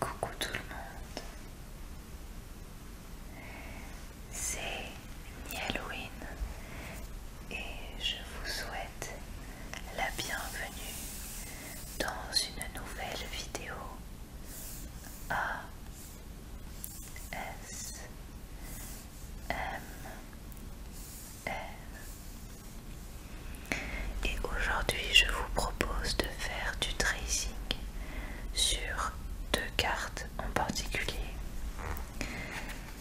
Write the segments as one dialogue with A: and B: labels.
A: Coucou tout le monde, c'est Halloween et je vous souhaite la bienvenue dans une nouvelle vidéo A S M et aujourd'hui, je vous propose de faire du tracing sur deux cartes en particulier.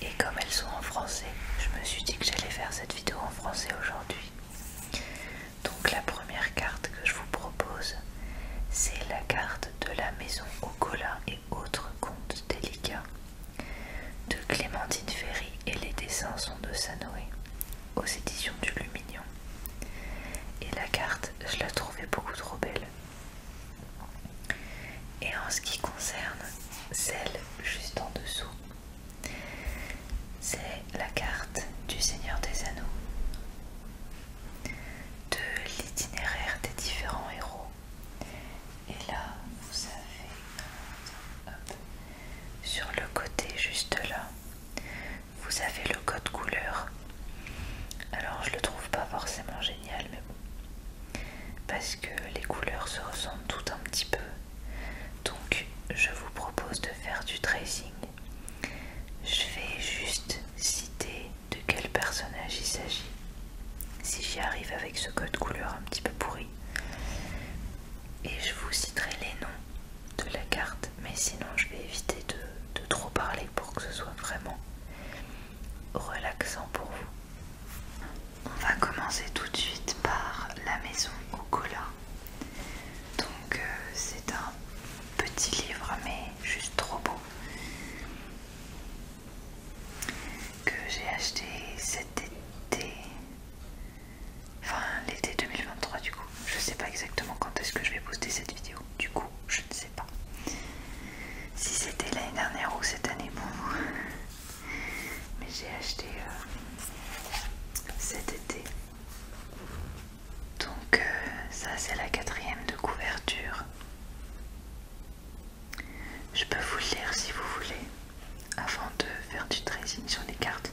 A: Et comme elles sont en français, je me suis dit que j'allais faire cette vidéo en français aujourd'hui. Donc la première carte que je vous propose, c'est la carte de la maison au cola et autres contes délicats de Clémentine Ferry et les dessins sont de Sanoé aux éditions du Lumignon. Et la carte, je la trouvais beaucoup trop belle. Et en ce qui concerne celle juste en dessous, c'est la carte du Seigneur des Anneaux, de l'itinéraire des différents héros. Et là, vous savez sur le côté, juste là, vous avez le code couleur. Alors, je le trouve pas forcément génial, mais bon. Parce que les couleurs se ressemblent tout un petit peu. Donc, je vous propose de faire du tracing. Je vais juste citer de quel personnage il s'agit. Si j'y arrive avec ce code couleur un petit peu pourri. Et je vous citerai les noms de la carte, mais sinon je vais éviter de, trop parler pour que ce soit vraiment relaxant pour vous. On va commencer tout de suite par la maison au cola. Donc euh, c'est un petit livre mais juste trop beau que j'ai acheté cet été Enfin, l'été 2023 du coup. Je sais pas exactement quand est-ce que je vais poster cette vidéo. Du coup, je ne sais pas. Si c'était l'année dernière ou cette année, bon. Mais j'ai acheté euh, cet été. Donc euh, ça c'est la quatrième de couverture. Je peux vous le lire si vous voulez avant de faire du tracing sur les cartes.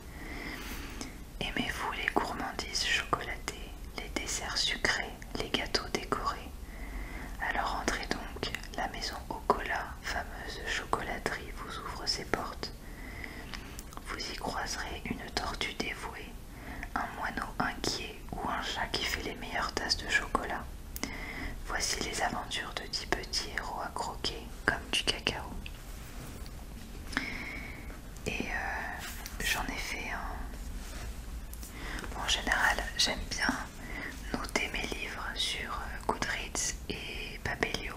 A: Aimez-vous les gourmandises chocolatées, les desserts sucrés, les gâteaux décorés Alors entrez donc, la maison au cola, fameuse chocolaterie, vous ouvre ses portes. Vous y croiserez une tortue dévouée, un moineau inquiet ou un chat qui fait les meilleures tasses de chocolat. Voici les aventures de dix petits héros à croquer comme du cacao. Et euh, j'en ai fait un. en général, j'aime bien noter mes livres sur euh, Goodreads et Babelio,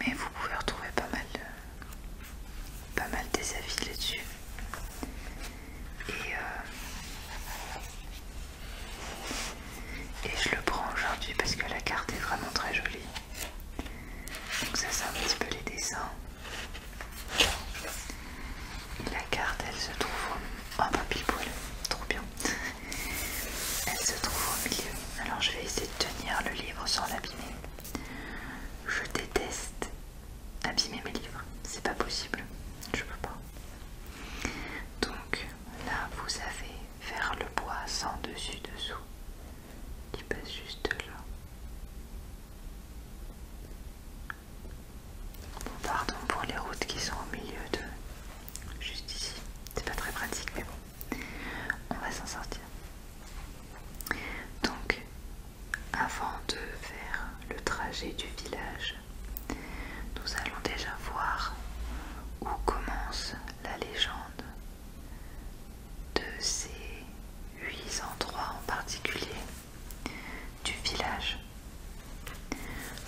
A: Mais vous pouvez retrouver pas mal, pas mal des avis là-dessus. Et euh, et je le prends aujourd'hui parce que la carte est vraiment très jolie. Donc ça c'est un petit peu les dessins. la carte elle se trouve au... Oh pile poil, trop bien. Elle se trouve au milieu. Alors je vais essayer de tenir le livre sans l'abîmer. Je déteste abîmer mes livres. C'est pas possible. Je peux pas. Donc là vous avez vers le bois sans dessus dessous qui passe juste là. pardon pour les routes qui sont au milieu de juste ici. C'est pas très pratique, mais bon, on va s'en sortir. Donc, avant de faire le trajet du village, nous allons déjà voir où commence la légende de ces huit endroits en particulier du village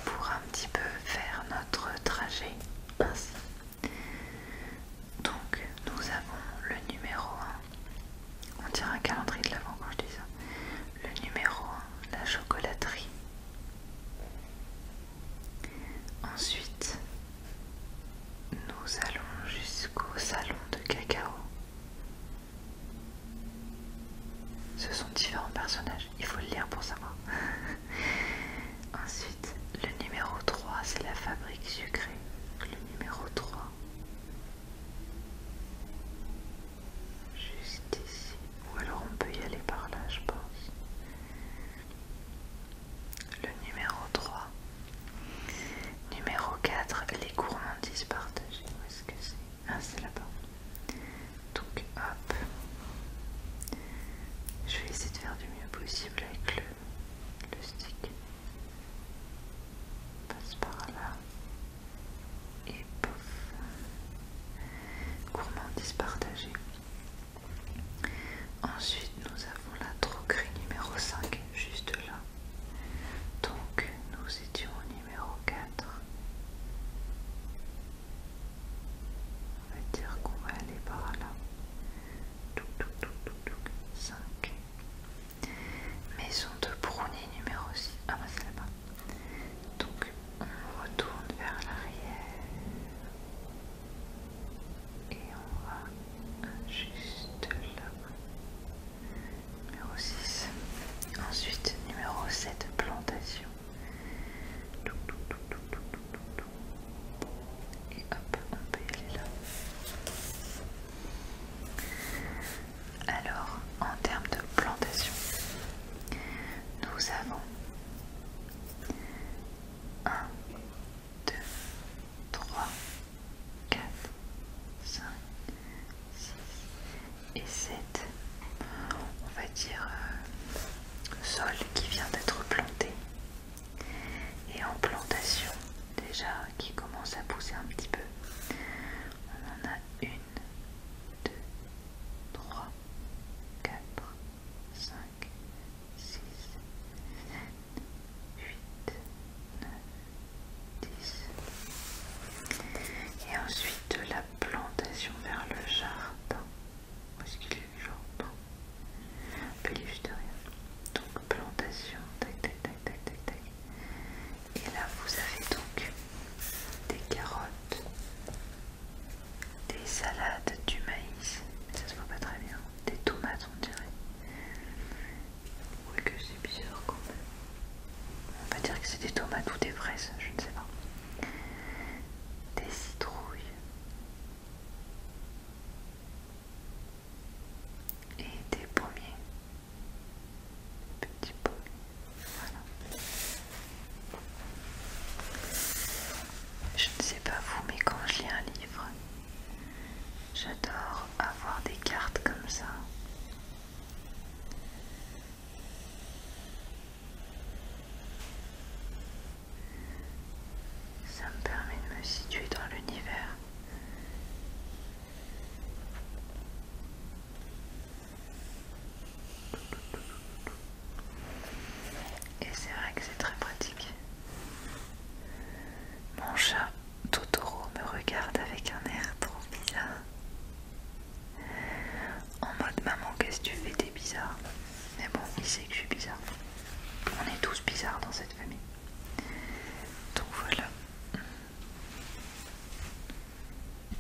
A: pour un petit peu faire notre trajet ainsi. Donc nous avons le numéro 1, on dirait un calendrier de l'avant quand je dis ça, le numéro 1, la chocolaterie. Ensuite, nous allons jusqu'au salon de cacao. Ce sont différents personnages, il faut le lire pour savoir. Ensuite, le numéro 3, c'est la fabrique sucrée. Le numéro 3. Juste ici. Ou alors on peut y aller par là, je pense le numéro 3. Numéro 4, les gourmandises partagées. Où est-ce que c'est Ah, c'est là-bas. Donc, hop. Je vais essayer de faire du mieux possible avec le, stick. passe par là. Et pouf. Gourmandises partagées. Ensuite, nous avons la troquerie numéro 5, juste là. Donc, nous étions au numéro 4. On va dire qu'on va aller par là. Toc 5. Maison de Brunet numéro 6. Ah bah c'est là-bas. Donc on retourne vers l'arrière et on va juste là. Numéro 6. Ensuite, numéro 7, plantation. Et hop, on paye là. Alors, en termes de plantation, nous avons un... 2, 3, 4, 5, 6 et 7. On va dire euh, sol qui vient d'être planté. Et en plantation, déjà qui commence à pousser un petit peu. On en a une, 2, 3, 4, 5, 6, 7, 8, 9, 10. Et ensuite de la plantation vers le jardin. Où est-ce qu'il est le jardin Puis juste derrière. Donc plantation, Et là vous avez donc des carottes, des salades, du maïs, mais ça se voit pas très bien des tomates on dirait. Oui que c'est bizarre quand même. On va dire que c'est des tomates ou des fraises, je ne sais pas. Des citrouilles. Et des pommiers. Petits pommiers. Voilà. Je ne sais pas vous, mais quand je lis un livre, J'adore avoir des cartes comme ça. Ça me permet de me situer dans l'univers. Et c'est vrai que c'est très pratique. Mon chat Totoro me regarde avec un air trop bizarre. En mode maman, qu'est-ce que tu fais T'es bizarre. Mais bon, il sait que je suis bizarre. On est tous bizarres dans cette famille. Donc voilà.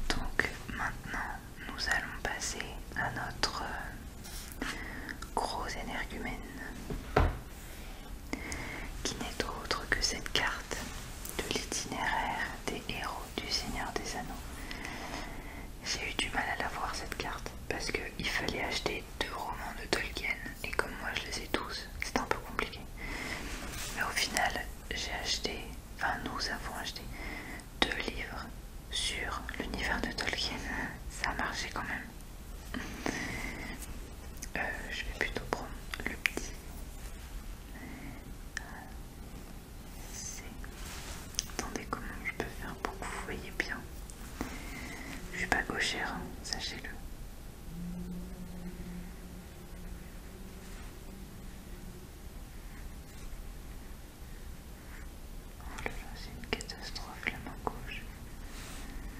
A: Donc maintenant, nous allons passer à notre euh, gros énergumène qui n'est autre que cette carte de l'itinéraire des héros du Seigneur des Anneaux. J'ai eu du mal à la cette carte parce qu'il fallait acheter deux romans de Tolkien et comme moi je les ai tous, c'est un peu compliqué. Mais au final, j'ai acheté, enfin nous avons acheté deux livres sur l'univers de Tolkien. Ça a marché quand même. Euh, je vais plutôt prendre le petit C. Attendez, comment je peux faire pour que vous voyez bien Je suis pas gauchère, hein, sachez-le. Oh là là, c'est une catastrophe la main gauche.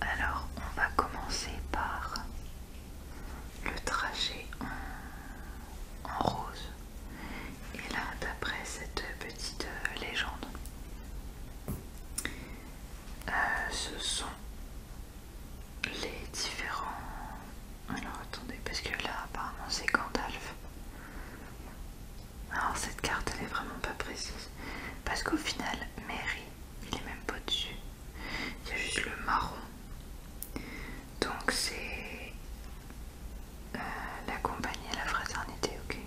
A: Alors, on va commencer par le trajet en, rose. Et là, d'après cette petite euh, légende, euh, ce sont les différents alors attendez, parce que là apparemment c'est Gandalf. Alors cette carte elle est vraiment pas précise. Parce qu'au final, Mary, il est même pas dessus. Il y a juste le marron. Donc c'est euh, la compagnie à la fraternité, ok.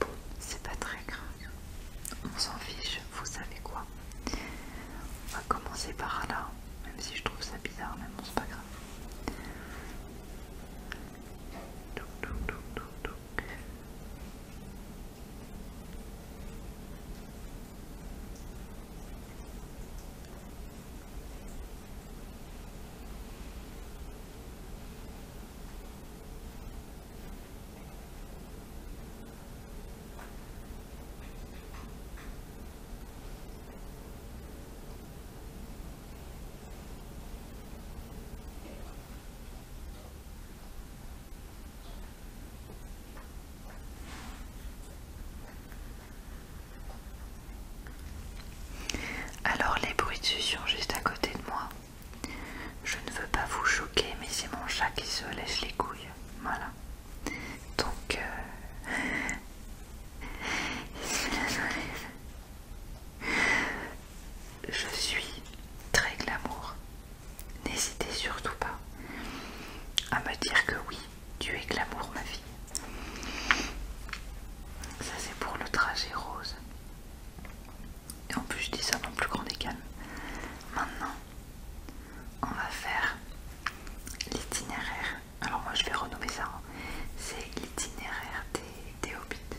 A: Bon, c'est pas très grave. On s'en fiche, vous savez quoi. On va commencer par là. Même si je trouve ça bizarre, mais bon, c'est pas grave. toc. Toc toc toc toc. Alors les bruits de juste à côté de moi. Je ne veux pas vous choquer, mais c'est mon chat qui se laisse les couilles. Voilà. Donc, euh, je suis très glamour. N'hésitez surtout pas à me dire que oui, tu es glamour, ma fille. Ça, c'est pour le trajet rose. Et en plus, je dis ça Non plus grand des Maintenant, on va faire l'itinéraire alors moi je vais renommer ça, hein. c'est l'itinéraire des, des hobbits.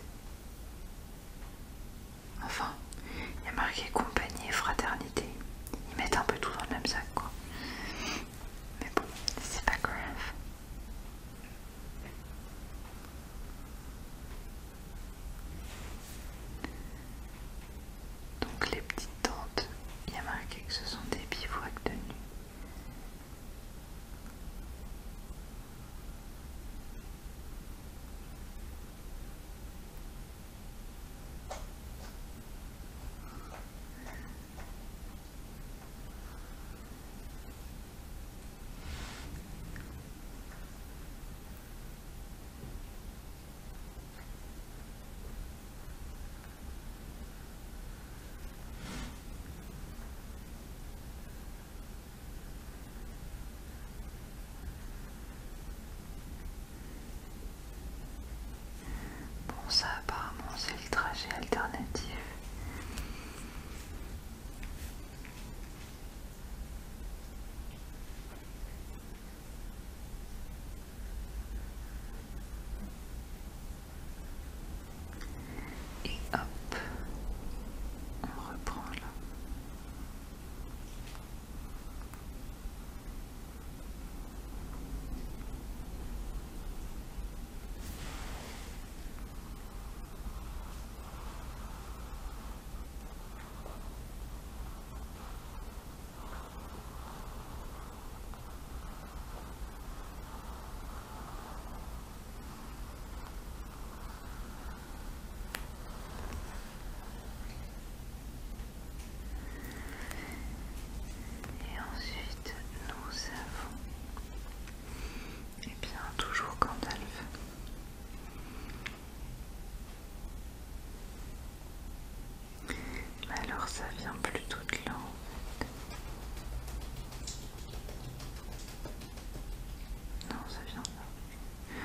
A: Enfin, il y a marqué compagnie et fraternité. Ils mettent un peu tout dans le même sac quoi. Mais bon, c'est pas grave. Donc les petites tentes il a marqué que ce sont des bivouacs de nuit. Bon ça apparemment c'est le trajet alternatif. Et hop, on reprend là. Et ensuite, nous avons, et eh bien toujours quand mais alors ça vient plutôt de là en fait. Non, ça vient là.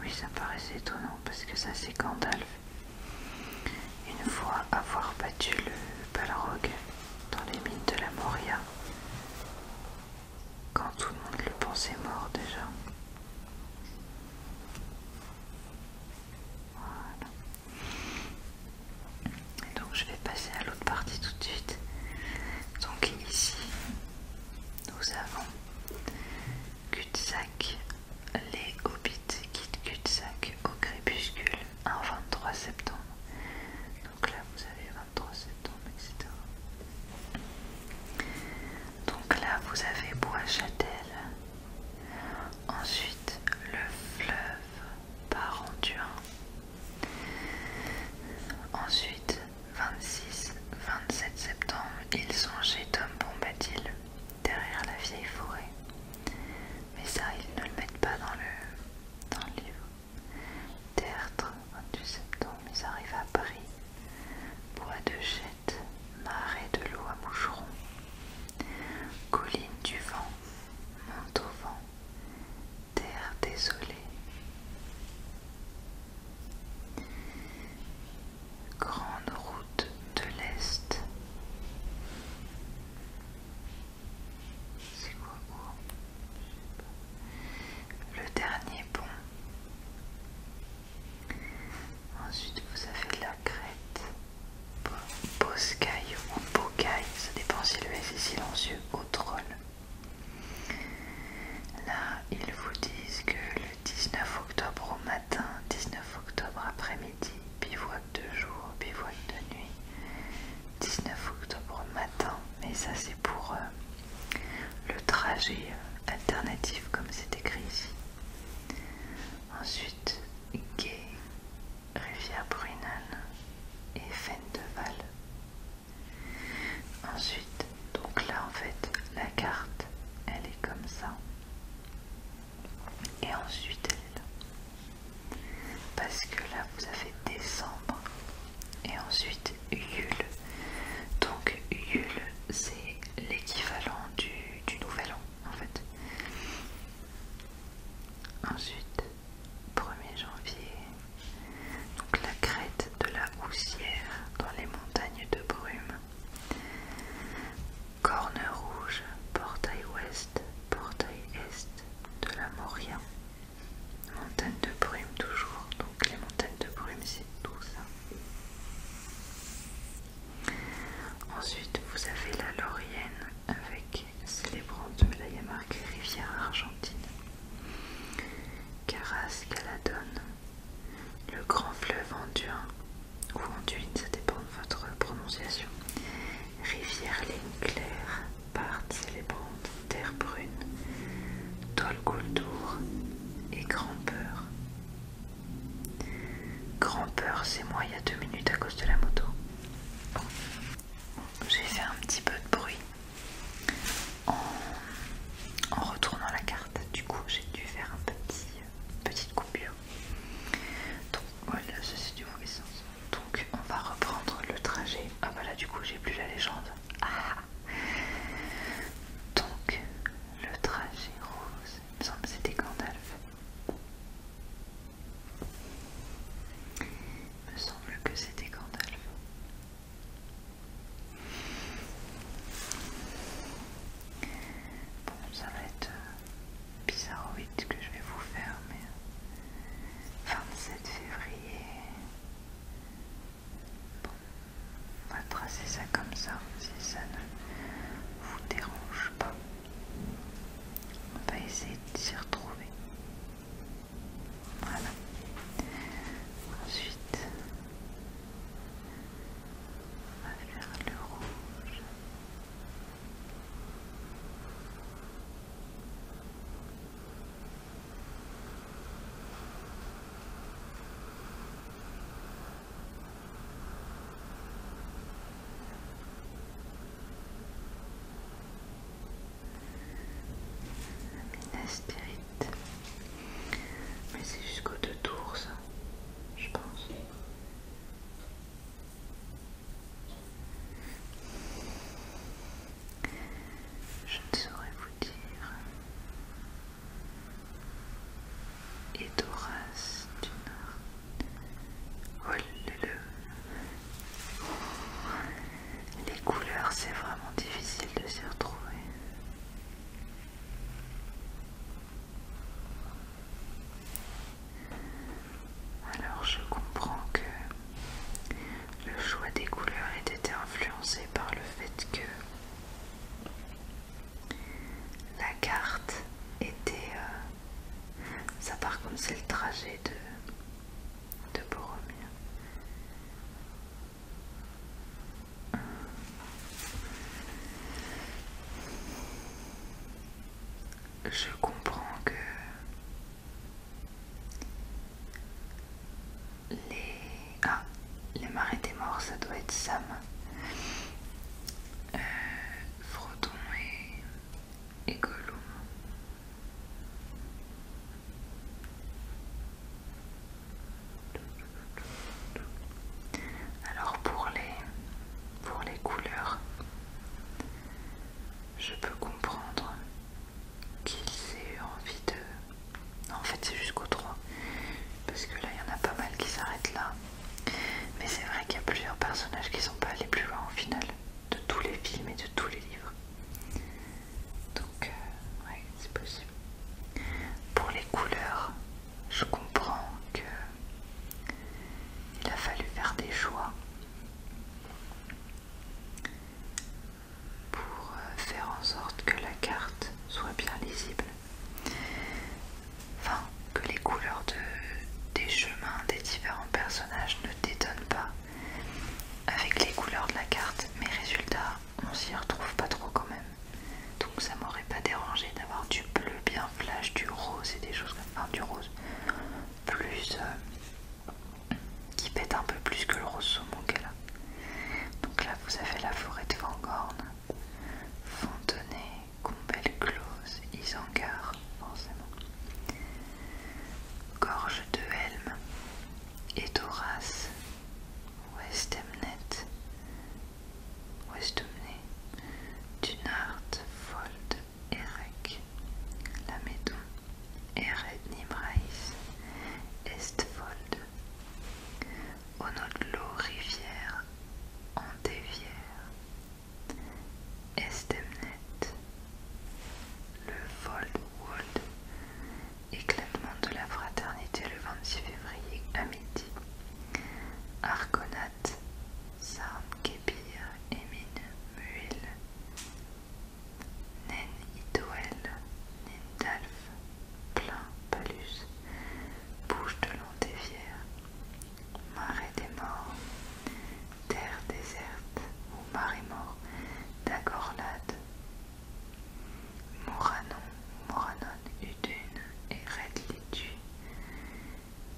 A: Oui, ça paraissait étonnant parce que ça c'est Gandalf. Une fois avoir battu le Balrog dans les mines de la Moria, quand tout le monde le pensait mort déjà. Voilà. donc je vais passer à l'autre partie tout de suite. Donc ici, nous avons cul sac les hobbits quittent de au crépuscule, en 23 septembre. Donc là vous avez 23 septembre, etc. Donc là vous avez Bois Châtel. Ensuite le fleuve par Anduin. Ensuite, 26, 27 septembre, ils sont chez Tom Bombadil, derrière la vieille forêt. Mais ça, ils ne le mettent pas dans le, dans le livre. Tertre, 22 septembre, ils arrivent à Paris. Bois de jette, marais de l'eau à Moucheron, Colline du vent, monte au vent, terre désolée. Grande route de l'Est. C'est quoi oh? Le dernier pont. Ensuite, vous avez la crête boscaille ou Bocaï, ça dépend si le S est silencieux ou troll. Là, ils vous disent que le 19 octobre au matin, 19 octobre après-midi, bivouac de jour, bivouac de nuit, 19 octobre matin, mais ça c'est pour euh, le trajet euh, alternatif comme c'est écrit ici. Ensuite, gay, Rivière Brunan et val Ensuite, donc là en fait, la carte, elle est comme ça. Et ensuite, elle Parce que là, vous avez décembre. Et ensuite, Yule. Donc, Yule, c'est l'équivalent du, du Nouvel An, en fait. Ensuite, 1er janvier. Donc la crête de la Houssière dans les montagnes de brume. Corne rouge, portail ouest, portail est de la Moria. Montagne de brume toujours, donc les montagnes de brume c'est tout ça. Ensuite vous avez la Laurienne avec là il y Rivière Argentine. Caras Caladone, le grand fleuve Anduin, ou Anduin, ça dépend de votre prononciation. Rivière Ligne Claire, Parte célébrante, Terre Brune, Tolgoultour et Grand-Peur. Grand-Peur, c'est moi il y a deux minutes à cause de la moto j'ai fait un petit peu de bruit en, retournant la carte. Du coup, j'ai dû faire un petit petite coupure. Donc voilà, ça c'est du mauvais sens. Donc on va reprendre le trajet. Ah bah là, du coup, j'ai plus la légende. Ah, ah. donc le trajet rose, il me semble que c'était Gandalf. Il me semble que c'était Gandalf. Bon, ça va être euh, bizarroïde que je vais vous faire, mais 27 février. Bon, on va tracer ça comme ça si ça ne vous dérange pas. On va essayer de s'y retrouver. Voilà. Ensuite, on va faire le rouge. Minas Mais c'est jusqu'au deux tours ça, je pense. Je ne saurais vous dire. Et d'Horace du Nord. Les couleurs, c'est vraiment difficile de s'y retrouver. Alors je comprends que le choix des couleurs ait été influencé par le fait que la carte était... Euh, ça part comme c'est le trajet de de Boromir. Je comprends que les... Ah, les marais des morts, ça doit être Sam. Euh, et, et Gollum. Alors pour les, pour les couleurs, je peux comprendre qu'ils aient envie de... en fait c'est jusqu'au 3, parce que là il y en a pas mal qui s'arrêtent là. Mais c'est vrai qu'il y a plusieurs personnages qui sont pas allés plus loin au final de tous les films et de tous les livres. Donc, euh, oui, c'est possible. Pour les couleurs, je comprends que il a fallu faire des choix pour euh, faire en sorte que la carte soit bien lisible. Enfin, que les couleurs de, des chemins des différents personnages ne détonnent pas avec les couleurs de la carte, mes résultats, on s'y retrouve pas trop quand même. Donc ça m'aurait pas dérangé d'avoir du bleu bien flash, du rose et des choses comme enfin, du rose plus euh, qui pète un peu plus que le rose saumon qu'elle a. Donc là vous avez la forêt de Fangorn, Fontenay, Combelle Close, Isengard, Gorge de Helm et Westemnet, Westemnet, Dunard, Fold, Erec, Lamédon, Ered Nimrais Estfold, Onodlo, Rivière, Andévière, Estemnet, le Foldwood, éclatement de la fraternité le 26 février à midi, Arkonat, Sarm Kébir, Emine Muil, Nen Itoel, Nindalf, Plein Palus, Bouche de Lantévière, Marais des Morts, terre déserte ou marais mort d'Agorlade. Moranon, Moranon, Udune et Litu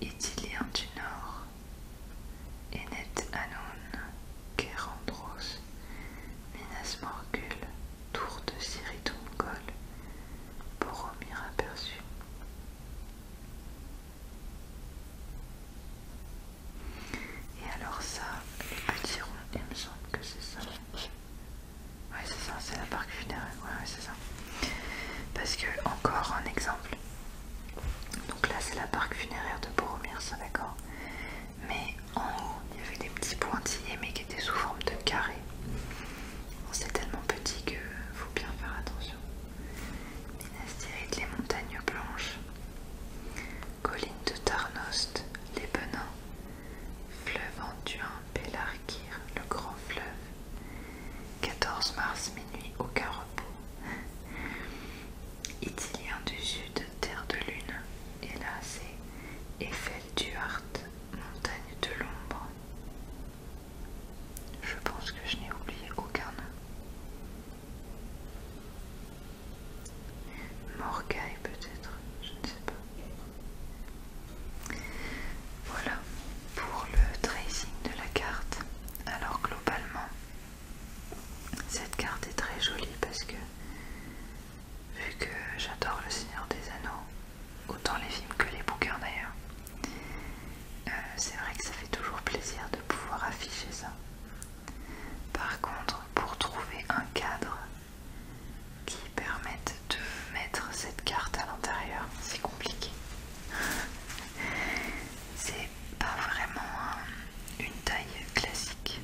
A: Itiliens du Nord, Enet Anon, Kerandros, Minas Morgul, Tour de Siritumgol, Boromir aperçu. Et alors ça, les petits ronds, il me semble que c'est ça. Ouais c'est ça, c'est la barque funéraire, ouais, c'est ça. Parce que encore un exemple. Donc là c'est la barque funéraire de Boromir, ça d'accord. Mais en haut, il y avait des petits pointillés mais qui étaient sous forme de carré. c'est tellement petit que faut bien faire attention. Minas les montagnes blanches. Colline de Tarnost, les Benins, fleuve Anduin, Pélarguir, le grand fleuve, 14 mars minuit, aucun repos. Itilien du Sud, terre de lune, hélas, c'est Eiffel du montagne de l'ombre. Je pense que je n'ai oublié aucun nom. Morgay peut-être, je ne sais pas. Voilà pour le tracing de la carte. Alors globalement, cette carte est très jolie parce que vu que j'adore le Seigneur des Anneaux, autant les films que les bouquins d'ailleurs, euh, c'est vrai que ça fait toujours plaisir de pouvoir afficher ça. Par contre, pour trouver un cadre qui permette de mettre cette carte à l'intérieur, c'est compliqué. c'est pas vraiment une taille classique.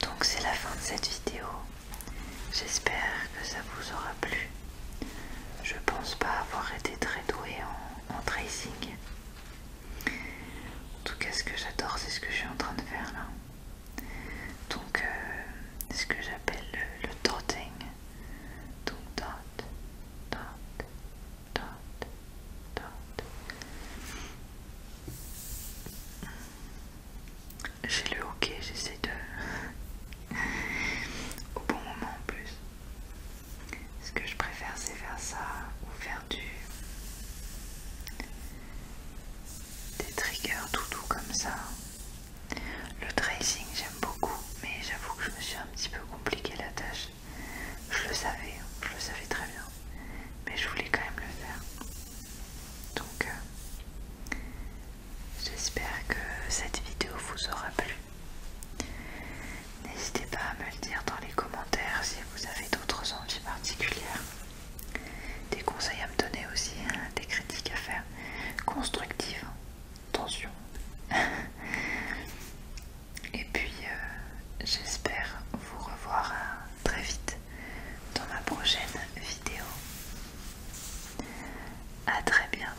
A: Donc c'est la fin de cette vidéo. J'espère que ça vous aura plu. Je pense pas avoir été très doué en tracing. En tout cas, ce que j'adore, c'est ce que je suis en train de faire là. Donc, c'est euh, ce que j'appelle le, le dotting. Donc, dot, dot, dot, dot. J'ai le hockey, j'essaie de. au bon moment en plus. Ce que je préfère, c'est faire ça ou faire du des triggers tout doux comme ça. Le tracing, j'aime beaucoup, mais j'avoue que je me suis un petit peu compliqué la tâche. Je le savais, je le savais très bien, mais je voulais quand même le faire. Donc, euh, j'espère que cette vidéo vous aura plu. N'hésitez pas à me le dire dans les commentaires si vous avez d'autres envies particulières. Des conseils à me donner aussi, hein, des critiques à faire. Constructives, attention. Et puis euh, j'espère vous revoir hein, très vite dans ma prochaine vidéo. A très bientôt.